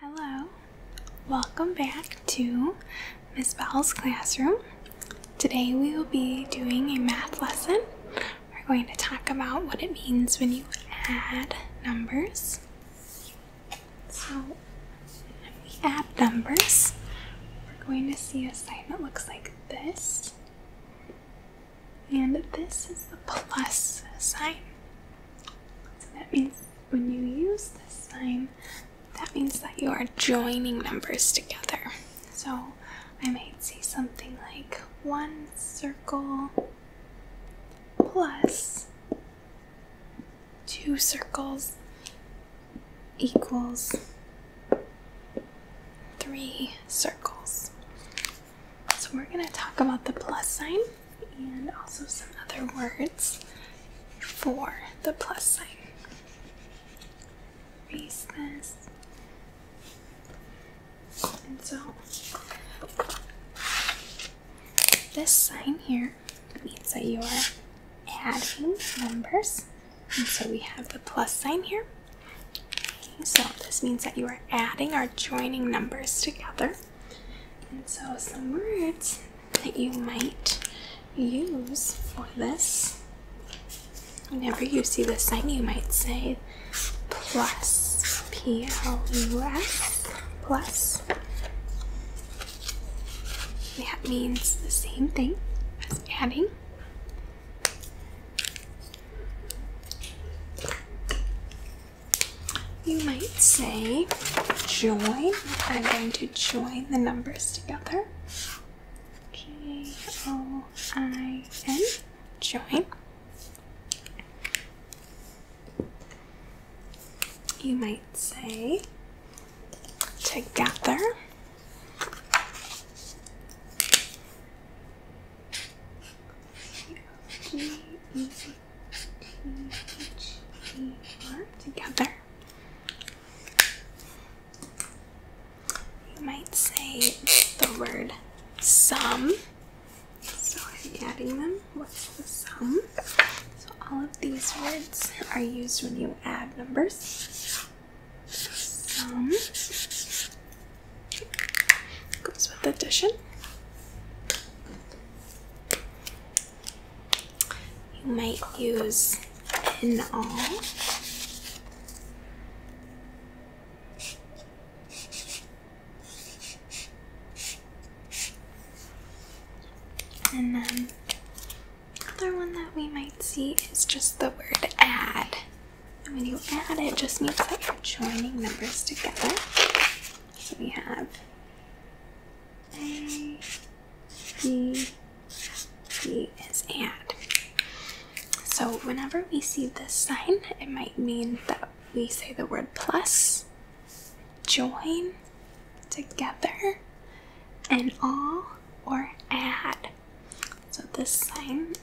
Hello, welcome back to Miss Bell's classroom. Today we will be doing a math lesson. We're going to talk about what it means when you add numbers. So, we add numbers, we're going to see a sign that looks like this. And this is the plus sign. So that means when you use this sign, that means that you are joining numbers together. So I might say something like one circle plus two circles equals three circles. So we're going to talk about the plus sign and also some other words for the plus sign. Erase this. And so this sign here means that you are adding numbers. And so we have the plus sign here. so this means that you are adding or joining numbers together. And so, some words that you might use for this. Whenever you see this sign, you might say plus, P L U S, plus. That means the same thing as adding you might say join. I'm going to join the numbers together. J O I N. Join. You might say together. G -E together. You might say the word sum. So I'm adding them. What's the sum? So all of these words are used when you add numbers. Sum goes with addition. You might use in all. And then another one that we might see is just the word add. when you add it just means that you're joining numbers together. So we have D, is add. So whenever we see this sign, it might mean that we say the word plus, join, together, and all, or add. So this sign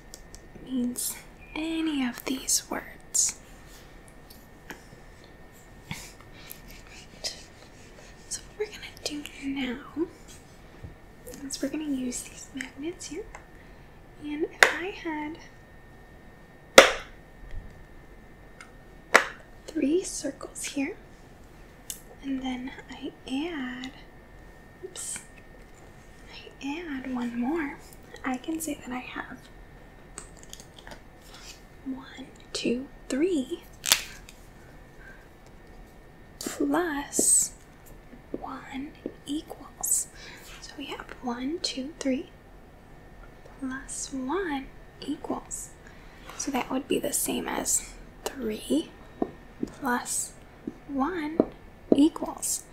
means any of these words. So what we're gonna do now is we're gonna use these magnets here. And if I had three circles here, and then I add, oops, I add one more, I can say that I have one, two, three. Plus one equals. So we have one, two, three. Plus one equals. So that would be the same as three plus one equals.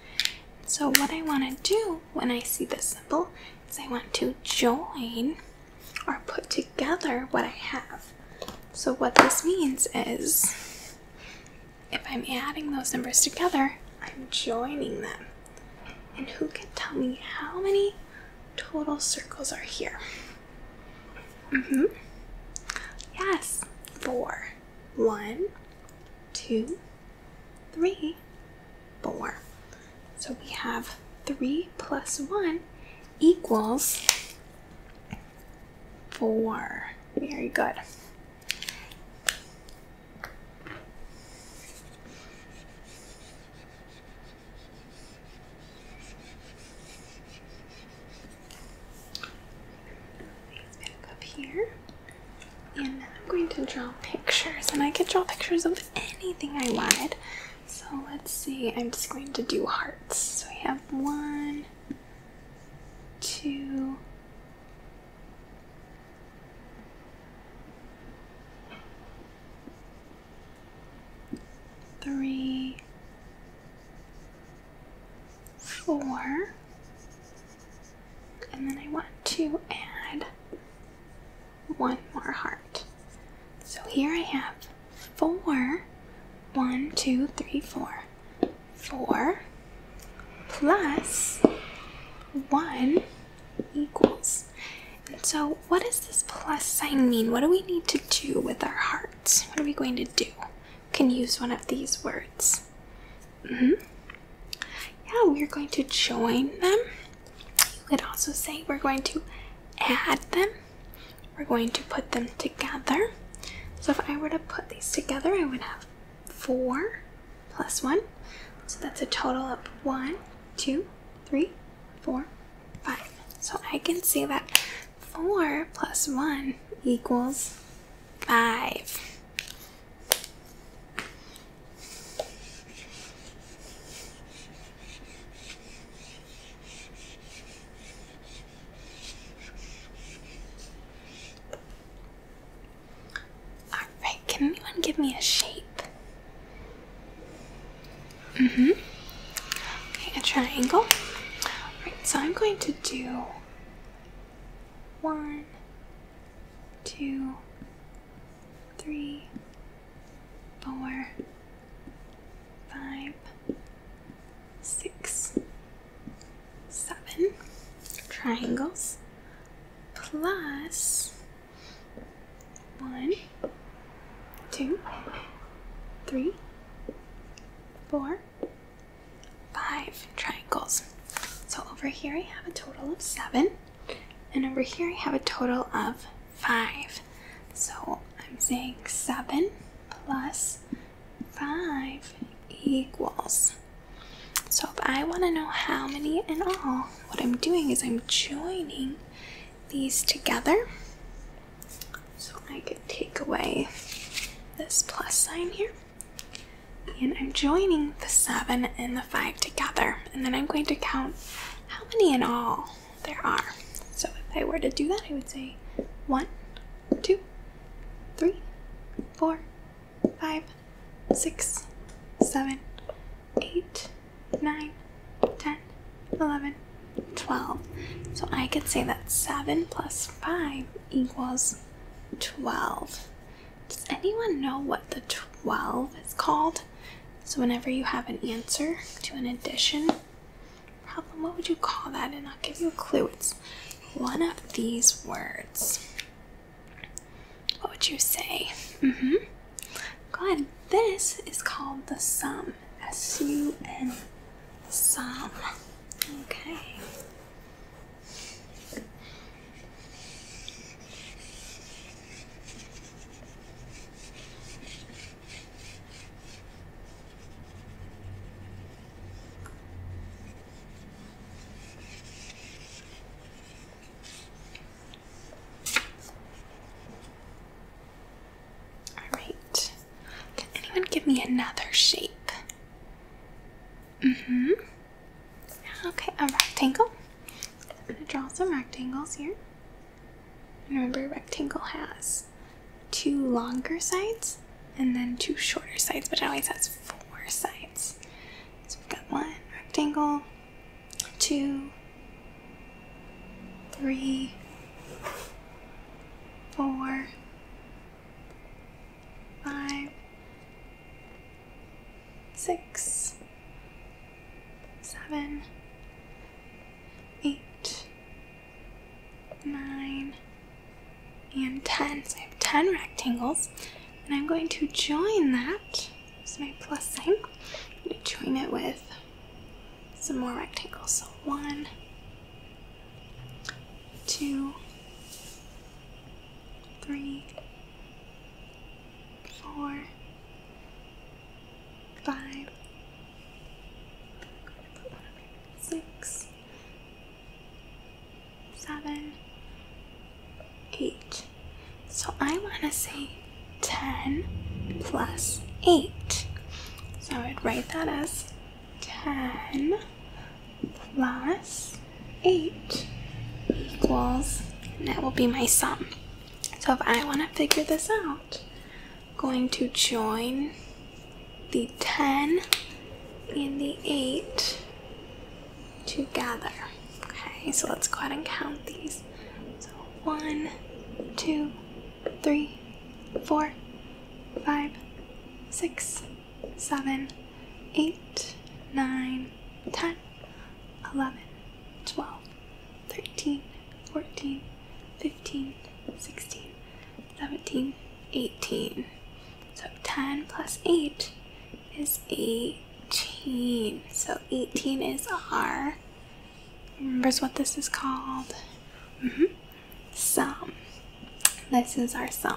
So what I want to do when I see this symbol I want to join or put together what I have. So what this means is if I'm adding those numbers together, I'm joining them. And who can tell me how many total circles are here? Mm-hmm. Yes, four. One, two, three, 4. So we have 3 plus 1 equals 4. Very good. Back up here and I'm going to draw pictures, and I can draw pictures of anything I want. So let's see, I'm just going to do hearts. So we have one, two, three, four. And then I want to add one more heart. So here I have four. One, two, three, four. Four plus one equals. And so, what does this plus sign mean? What do we need to do with our hearts? What are we going to do? can use one of these words. -hmm. Yeah, we're going to join them. You could also say we're going to add them. We're going to put them together. So if I were to put these together, I would have four plus one. So that's a total of one, two, three, four, five. So I can say that four plus one equals five. Alright, can anyone give me a shape? Mm-hmm. Okay, a triangle. Alright, so I'm going to do one, two, three, four, five, six, seven triangles plus one, two, three, four, five triangles. So over here I have a total of seven. And over here I have a total of five. So I'm saying seven plus five equals. So if I want to know how many in all, what I'm doing is I'm joining these together. So I could take away this plus sign here. And I'm joining the seven and the five together, and then I'm going to count how many in all there are. So if I were to do that, I would say one, two, three, four, five, six, seven, eight, nine, ten, eleven, twelve. So I could say that seven plus five equals twelve. Does anyone know what the 12 is called? So, whenever you have an answer to an addition problem, what would you call that? And I'll give you a clue. It's one of these words. What would you say? Mm hmm. Go This is called the sum. S U M. Sum. Okay. All right. Can anyone give me another shape? Mm-hmm. Okay, a rectangle. I'm gonna draw some rectangles here. remember, a rectangle has two longer sides and then two shorter sides, but it always has four sides. So we've got one rectangle, two, three, four, five, six, seven, eight, nine, and 10. So I have 10 rectangles, and I'm going to join that. with my plus sign. I'm going to join it with some more rectangles. So one, two, three, four, five, six, seven, eight. So I want to say 10 plus 8. So I would write that as 10 plus 8 equals, and that will be my sum. So if I want to figure this out, I'm going to join the 10 and the 8 together. Okay, so let's go ahead and count these. So 1, 2, 3, 4, 5, 6, seven, eight, nine, ten, eleven, twelve, thirteen, fourteen, fifteen, sixteen, seventeen, eighteen. So 10 plus 8 is 18. So 18 is our, remembers what this is called? -hmm. Sum. This is our sum.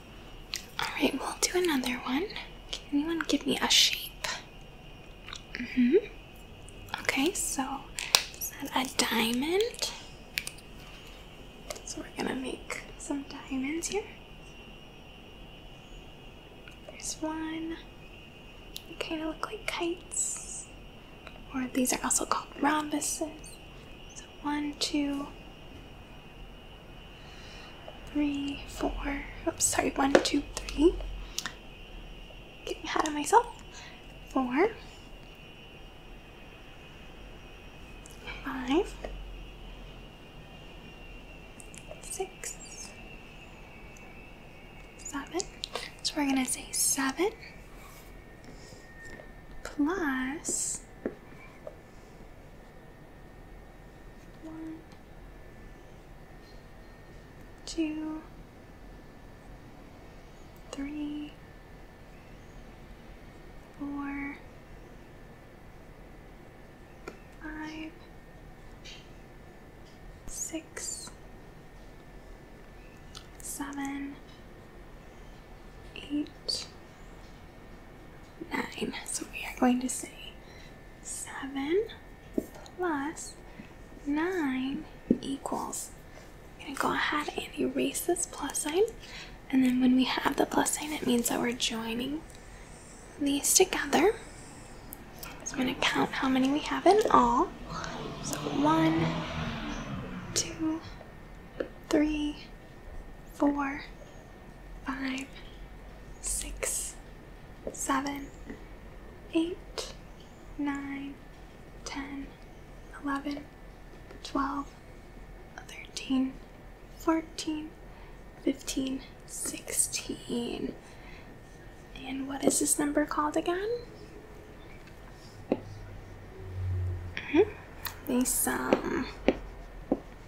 Alright, we'll do another one. Can anyone give me a shape? hmm. Okay, so a diamond? So we're gonna make some diamonds here. There's one. They kind of look like kites. Or these are also called rhombuses. So one, two, three, four, oops, sorry, one, two, three. Getting ahead of myself. Four, five, six, seven. So we're gonna say seven plus one, two, three, four, five, six, seven, eight. 9. So we are going to say 7 plus 9 equals. I'm going to go ahead and erase this plus sign. And then when we have the plus sign, it means that we're joining these together. So I'm going to count how many we have in all. So 1, 2, 3, 4, five, six, seven, eight, nine, ten, eleven, twelve, thirteen, fourteen, fifteen, sixteen. And what is this number called again? -hmm. The sum.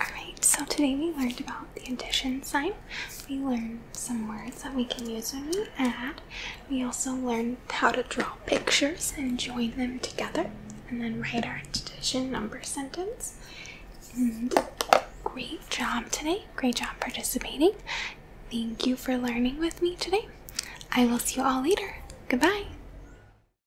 Alright, so today we learned about the addition sign. We learned some words that we can use when we add. We also learned how to draw pictures and join them together, and then write our addition number sentence. great job today. Great job participating. Thank you for learning with me today. I will see you all later. Goodbye.